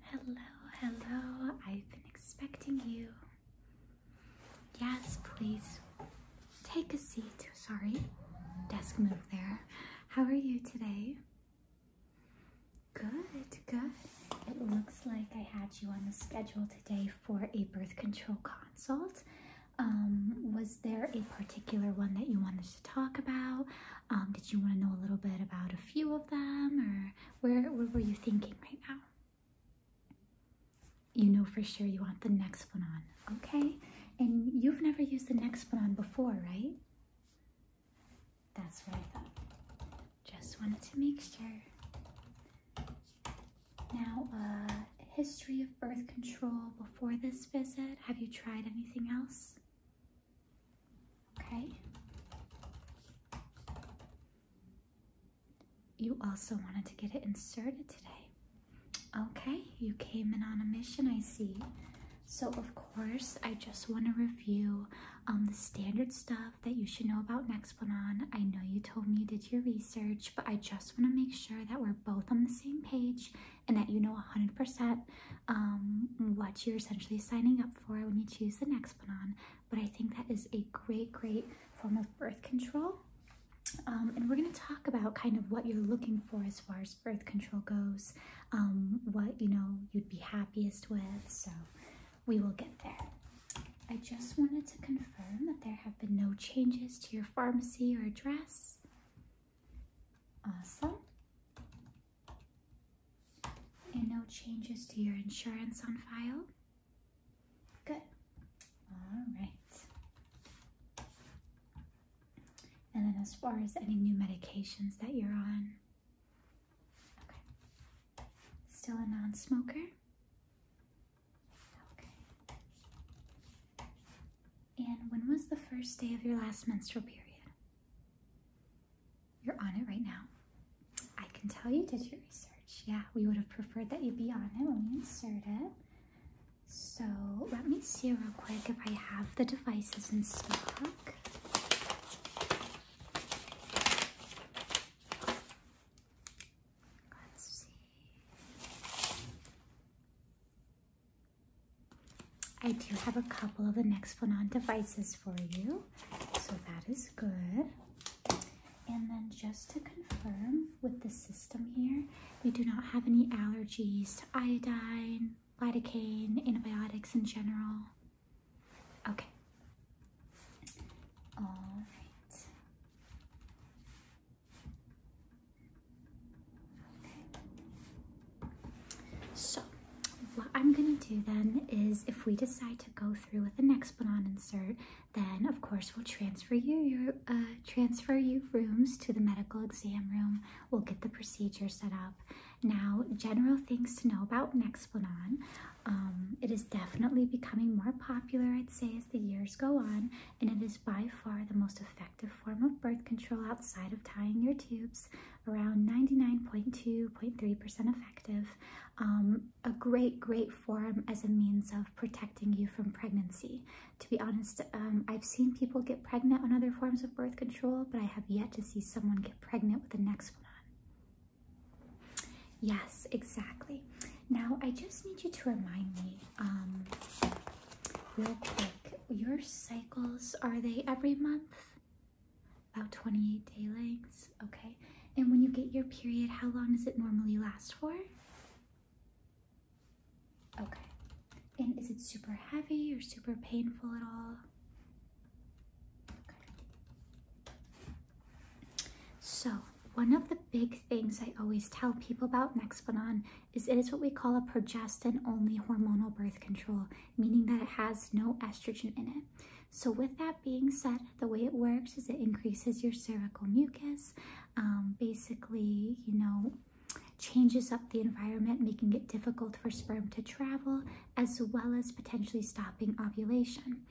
Hello, hello. I've been expecting you. Yes, please. Take a seat. Sorry. Desk move there. How are you today? Good, good. It looks like I had you on the schedule today for a birth control consult. Um, was there a particular one that you wanted to talk about? Um, did you want to know a little bit about a few of them or where, where were you thinking right now? You know for sure you want the next one on, okay? And you've never used the next one on before, right? That's what I thought. Just wanted to make sure. Now, uh, history of birth control before this visit. Have you tried anything else? Okay. You also wanted to get it inserted today. Okay, you came in on a mission, I see. So, of course, I just want to review um, the standard stuff that you should know about Nexplanon. I know you told me you did your research, but I just want to make sure that we're both on the same page and that you know 100% um, what you're essentially signing up for when you choose the next one on. But I think that is a great, great form of birth control. Um, and we're going to talk about kind of what you're looking for as far as birth control goes, um, what you know you'd be happiest with. So we will get there. I just wanted to confirm that there have been no changes to your pharmacy or address. Awesome. And no changes to your insurance on file? Good. All right. And then, as far as any new medications that you're on? Okay. Still a non smoker? Okay. And when was the first day of your last menstrual period? You're on it right now. I can tell you did your research. Yeah, we would have preferred that you be on it when we inserted it. So let me see real quick if I have the devices in stock. Let's see. I do have a couple of the next Nexplanon devices for you, so that is good. And then just to confirm with the system here, we do not have any allergies to iodine, lidocaine, antibiotics in general. Okay. All right. Okay. So, what I'm gonna do then is if we decide to go through with an next insert, then of course we'll transfer you your uh, transfer you rooms to the medical exam room. We'll get the procedure set up. Now, general things to know about Nexplanon. Um, it is definitely becoming more popular, I'd say, as the years go on, and it is by far the most effective form of birth control outside of tying your tubes around 99.2.3% effective. Um, a great, great form as a means of protecting you from pregnancy. To be honest, um, I've seen people get pregnant on other forms of birth control, but I have yet to see someone get pregnant with the next one on. Yes, exactly. Now, I just need you to remind me um, real quick your cycles are they every month? About 28 day lengths, okay. And when you get your period, how long does it normally last for? Okay. And is it super heavy or super painful at all? Okay. So, one of the big things I always tell people about Nexplanon is it is what we call a progestin only hormonal birth control meaning that it has no estrogen in it. So, with that being said, the way it works is it increases your cervical mucus, um, basically, you know, changes up the environment, making it difficult for sperm to travel, as well as potentially stopping ovulation.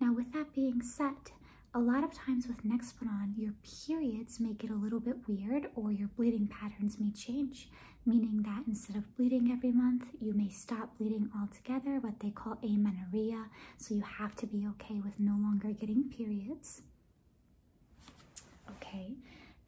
Now, with that being said, a lot of times with Nexplanon, your periods may get a little bit weird or your bleeding patterns may change meaning that instead of bleeding every month, you may stop bleeding altogether, what they call amenorrhea. So you have to be okay with no longer getting periods. Okay,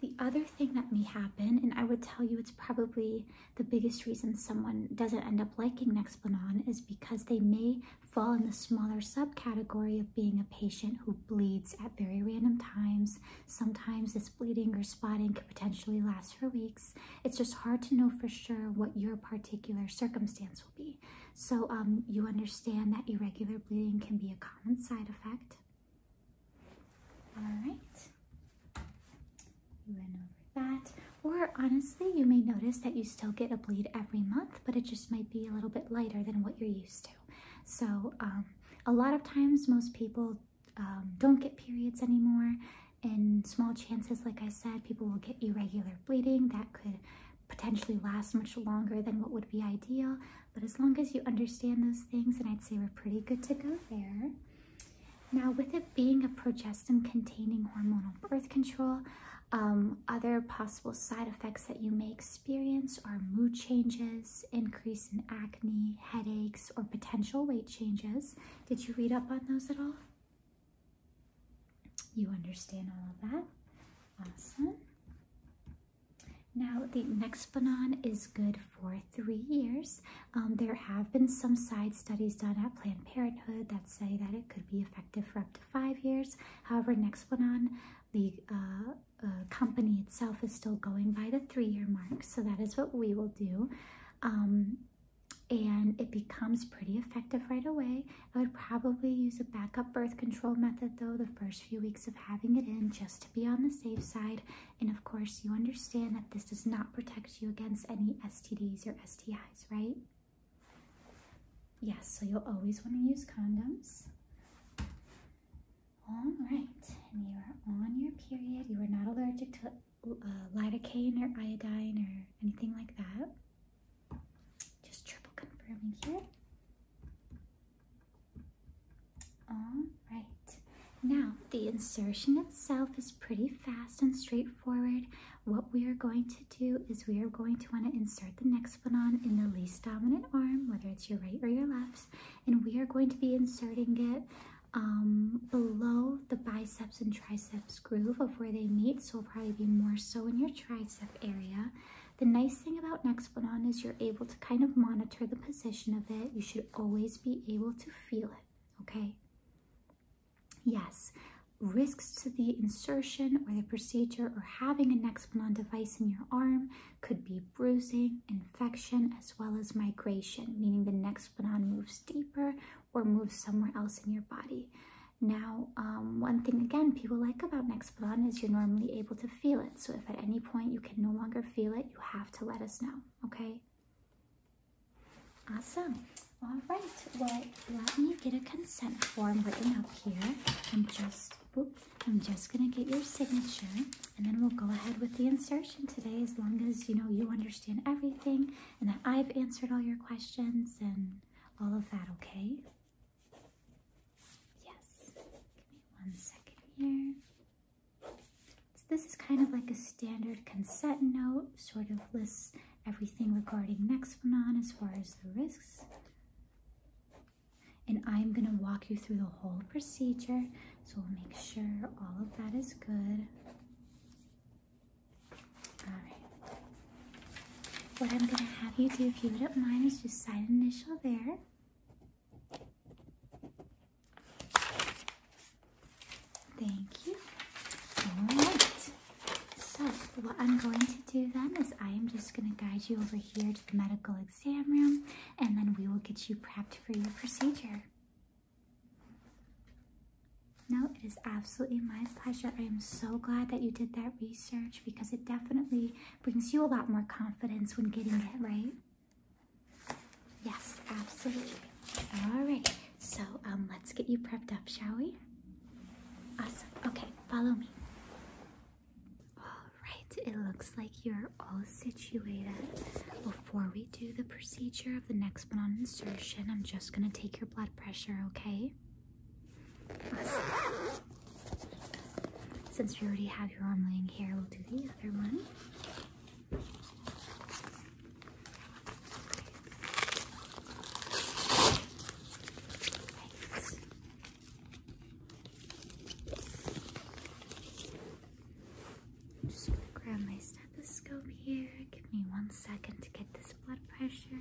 the other thing that may happen, and I would tell you it's probably the biggest reason someone doesn't end up liking Nexplanon is because they may fall in the smaller subcategory of being a patient who bleeds at very random times. Sometimes this bleeding or spotting could potentially last for weeks. It's just hard to know for sure what your particular circumstance will be. So um, you understand that irregular bleeding can be a common side effect. All right, you went over that. Or honestly, you may notice that you still get a bleed every month, but it just might be a little bit lighter than what you're used to. So um, a lot of times most people um, don't get periods anymore. and small chances, like I said, people will get irregular bleeding that could potentially last much longer than what would be ideal. But as long as you understand those things, and I'd say we're pretty good to go there. Now, with it being a progestin containing hormonal birth control, um, other possible side effects that you may experience are mood changes increase in acne, headaches, or potential weight changes. Did you read up on those at all? You understand all of that. Awesome. Now, the Nexplanon is good for three years. Um, there have been some side studies done at Planned Parenthood that say that it could be effective for up to five years. However, Nexplanon, the uh, uh, company itself, is still going by the three-year mark. So that is what we will do. Um, and it becomes pretty effective right away. I would probably use a backup birth control method though the first few weeks of having it in just to be on the safe side. And of course, you understand that this does not protect you against any STDs or STIs, right? Yes, so you'll always want to use condoms. All right, and you are on your period. You are not allergic to uh, lidocaine or iodine or anything like that. Just triple confirming here. All right. Now, the insertion itself is pretty fast and straightforward. What we are going to do is we are going to want to insert the next one on in the least dominant arm, whether it's your right or your left, and we are going to be inserting it um, below the biceps and triceps groove of where they meet, so it'll probably be more so in your tricep area. The nice thing about Nexplanon is you're able to kind of monitor the position of it. You should always be able to feel it, okay? Yes, risks to the insertion or the procedure or having a Nexplanon device in your arm could be bruising, infection, as well as migration, meaning the next spleen moves deeper or moves somewhere else in your body. Now, um, one thing again people like about Nexplanon is you're normally able to feel it. So if at any point you can no longer feel it, you have to let us know, okay? Awesome. All right, well, let me get a consent form written up here. I'm just, whoop, I'm just gonna get your signature and then we'll go ahead with the insertion today as long as you know you understand everything and that I've answered all your questions and all of that, okay? Yes. Give me one second here. So this is kind of like a standard consent note, sort of lists everything regarding Nexplanon as far as the risks. And I'm going to walk you through the whole procedure so we'll make sure all of that is good. Alright. What I'm going to have you do, if you do not mind, is just sign initial there. Thank you. Alright. So, what I'm going to do then is I am just going to guide you over here to the medical exam room and then we will get you prepped for your procedure. No, it is absolutely my pleasure. I am so glad that you did that research because it definitely brings you a lot more confidence when getting it right. Yes, absolutely. All right, so um, let's get you prepped up, shall we? Awesome. Okay, follow me. Oh, Right. it looks like you're all situated. Before we do the procedure of the next one on insertion, I'm just going to take your blood pressure, okay? Since we already have your arm laying here, we'll do the other one. I'm just gonna grab my stethoscope here. Give me one second to get this blood pressure.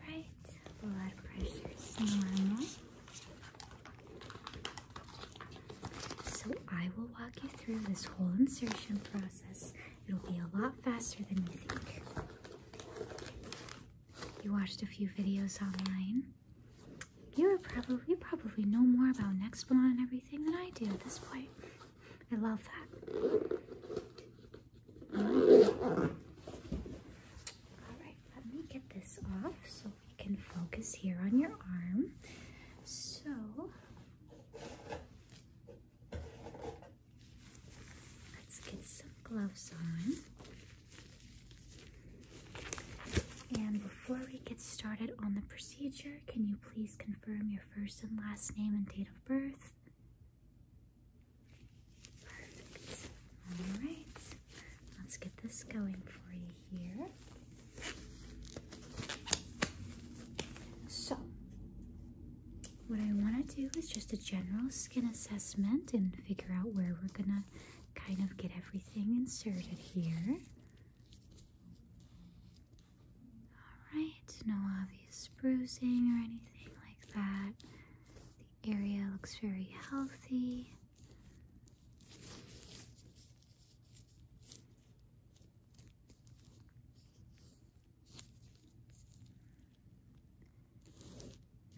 Right, blood pressure is normal. So I will walk you through this whole insertion process. It'll be a lot faster than you think. You watched a few videos online. You are probably you probably know more about Nextblon and everything than I do at this point. I love that. Alright, let me get this off so we can focus here on your arm. So Let's get some gloves on. And before we get started on the procedure, can you please confirm your first and last name and date of birth? Perfect. All right. Let's get this going for you here. So, what I want to do is just a general skin assessment and figure out where we're going to kind of get everything inserted here. Alright, no obvious bruising or anything like that. The area looks very healthy.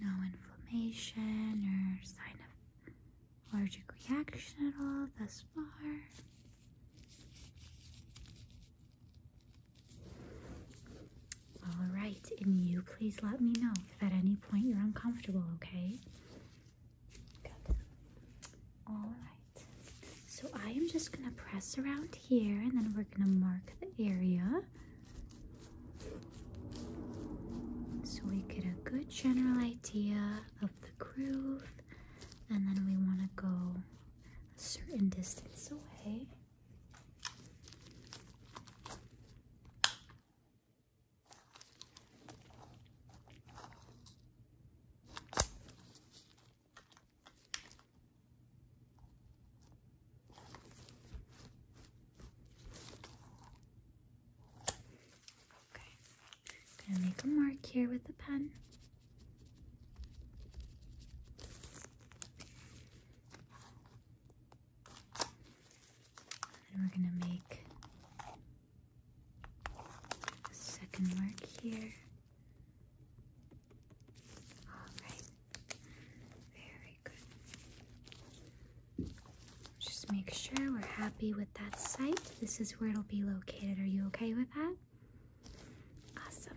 No inflammation or sign of allergic reaction at all thus far. All right, and you please let me know if at any point you're uncomfortable, okay? Good. All right. So I am just going to press around here and then we're going to mark the area so we get a good general idea of the groove and then we want to go a certain distance away Okay, gonna make a mark here with the pen. And we're gonna make a second mark here. Alright. Very good. Just make sure we're happy with that site. This is where it'll be located. Are you okay with that? Awesome.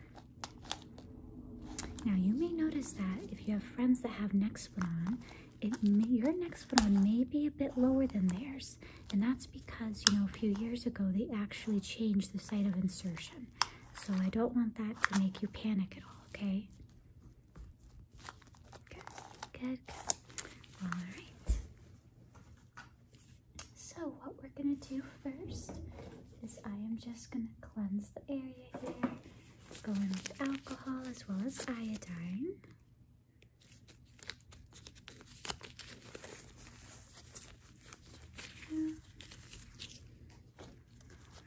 Now you may notice that if you have friends that have neck split on, it your neck split on may be a bit lower than theirs. And that's because, you know, a few years ago they actually changed the site of insertion. So I don't want that to make you panic at all, okay? Good, good, good. All right. So what we're going to do first is I am just going to cleanse the area here. going with alcohol as well as iodine.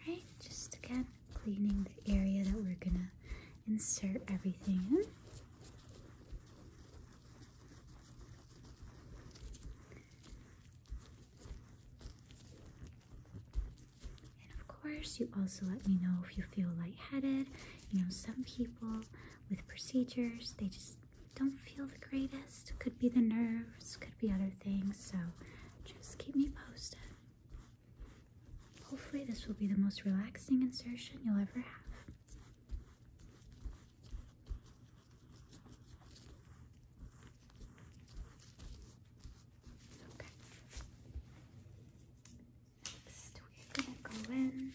Right, just again cleaning the area that we're gonna insert everything And of course, you also let me know if you feel lightheaded. You know, some people with procedures, they just don't feel the greatest. Could be the nerves, could be other things. So just keep me posted. Hopefully, this will be the most relaxing insertion you'll ever have. Okay. Next, we're going to go in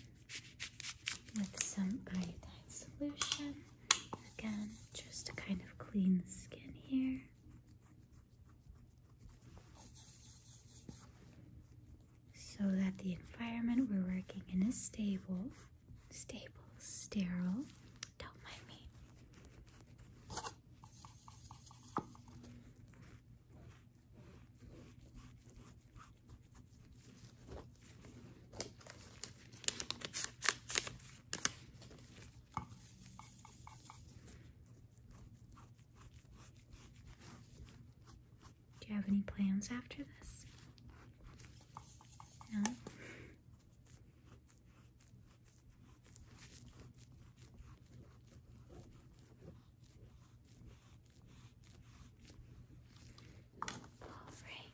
with some iodine solution. Again, just to kind of clean the skin here. So that the environment we're working in is stable, stable, sterile. Don't mind me. Do you have any plans after this? No? All right.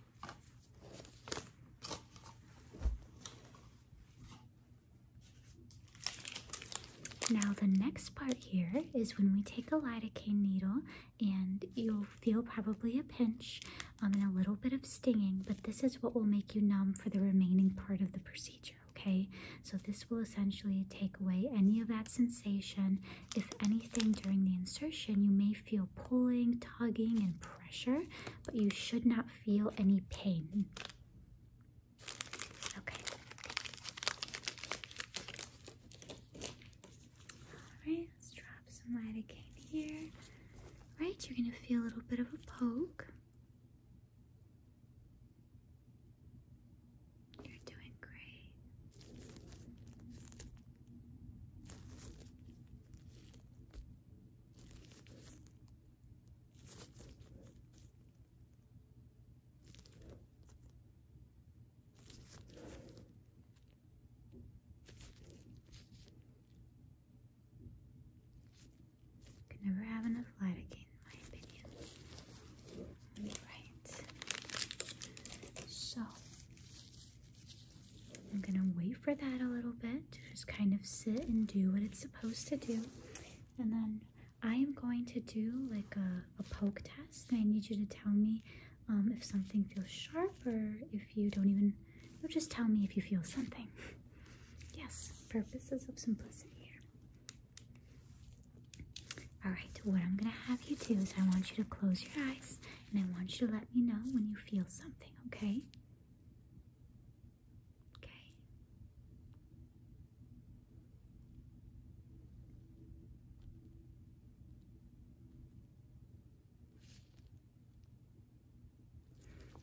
Now the next part here is when we take a lidocaine needle and you'll feel probably a pinch um, and a little bit of stinging, but this is what will make you numb for the remaining part of the procedure, okay? So this will essentially take away any of that sensation. If anything during the insertion, you may feel pulling, tugging, and pressure, but you should not feel any pain. Okay. Alright, let's drop some lidocaine here. All right, you're going to feel a little bit of a poke. You're doing great. Could never have enough lidocaine, in my opinion. All right. So I'm going to wait for that a little bit to just kind of sit and do what it's supposed to do. And then I am going to do like a, poke test. I need you to tell me um, if something feels sharp or if you don't even, just tell me if you feel something. yes, purposes of simplicity here. Alright, what I'm going to have you do is I want you to close your eyes and I want you to let me know when you feel something, okay? Okay.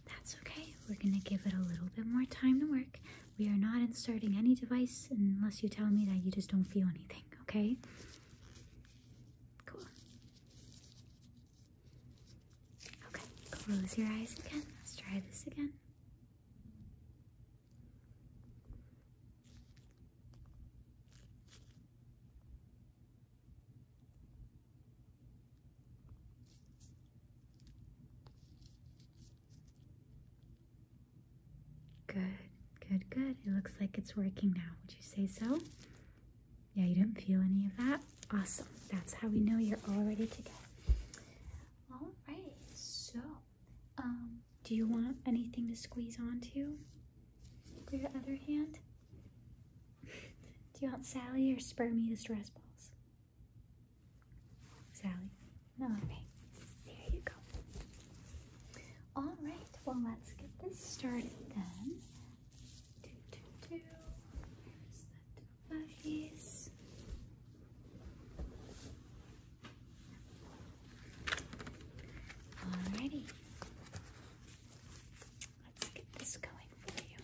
That's okay. We're going to give it a little bit more time to work. We are not inserting any device unless you tell me that you just don't feel anything, okay? Cool. Okay, close your eyes again. Let's try this again. Good, good, good. It looks like it's working now. Would you say so? Yeah, you didn't feel any of that? Awesome. That's how we know you're all ready to go. All right, so um, do you want anything to squeeze onto your other hand? do you want Sally or Spermy the stress balls? Sally. All right, there you go. All right, well, let's get this started then. Alrighty. Let's get this going for you.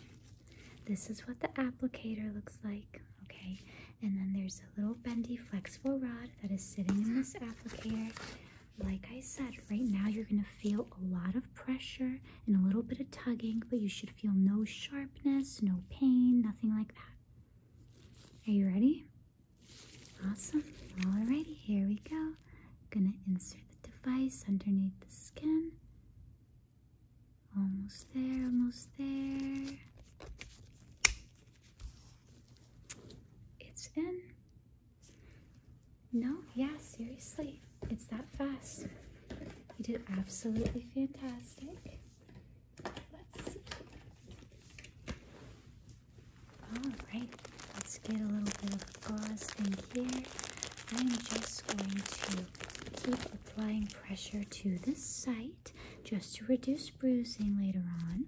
This is what the applicator looks like, okay? And then there's a little bendy flexible rod that is sitting in this applicator. Like I said, right now you're going to feel a lot of pressure and a little bit of tugging, but you should feel no sharpness, no pain, nothing like that. Are you ready? Awesome. Alrighty, here we go. I'm gonna insert the device underneath the skin. Almost there, almost there. It's in. No, yeah, seriously. It's that fast. You did absolutely fantastic. Alright, let's get a little bit of gauze thing here. I'm just going to keep applying pressure to this site just to reduce bruising later on.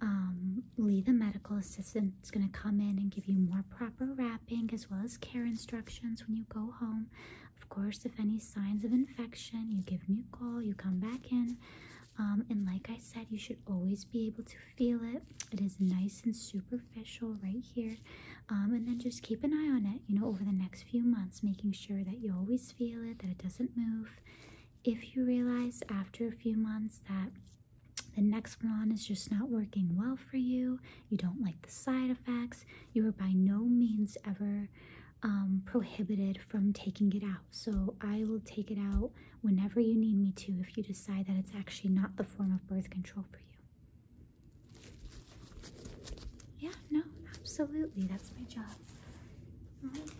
Um, Lee, the medical assistant, it's going to come in and give you more proper wrapping as well as care instructions when you go home. Of course, if any signs of infection, you give me a call, you come back in. Um, and like I said, you should always be able to feel it. It is nice and superficial right here. Um, and then just keep an eye on it, you know, over the next few months, making sure that you always feel it, that it doesn't move. If you realize after a few months that the next one is just not working well for you. You don't like the side effects. You are by no means ever um, prohibited from taking it out. So I will take it out whenever you need me to if you decide that it's actually not the form of birth control for you. Yeah, no, absolutely. That's my job. All right.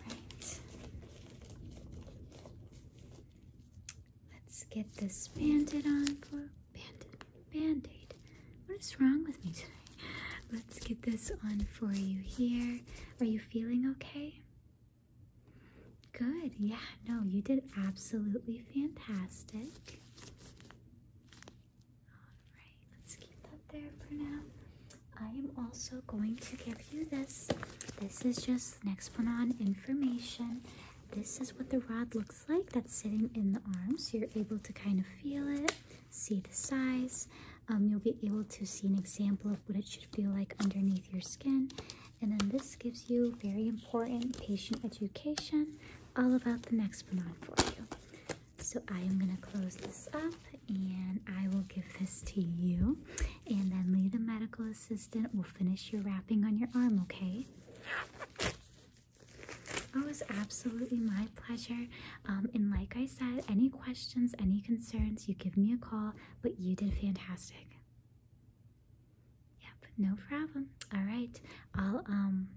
Let's get this bandit on for bandit band-aid. What is wrong with me today? Let's get this on for you here. Are you feeling okay? Good. Yeah, no, you did absolutely fantastic. Alright, let's keep that there for now. I am also going to give you this. This is just next one on information this is what the rod looks like that's sitting in the arm so you're able to kind of feel it see the size um, you'll be able to see an example of what it should feel like underneath your skin and then this gives you very important patient education all about the next Nexplanon for you so I am going to close this up and I will give this to you and then Lee the medical assistant will finish your wrapping on your arm okay it was absolutely my pleasure. Um, and like I said, any questions, any concerns, you give me a call, but you did fantastic. Yep, no problem. All right, I'll um,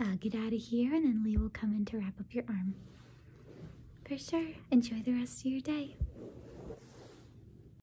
uh, get out of here and then Lee will come in to wrap up your arm. For sure. Enjoy the rest of your day.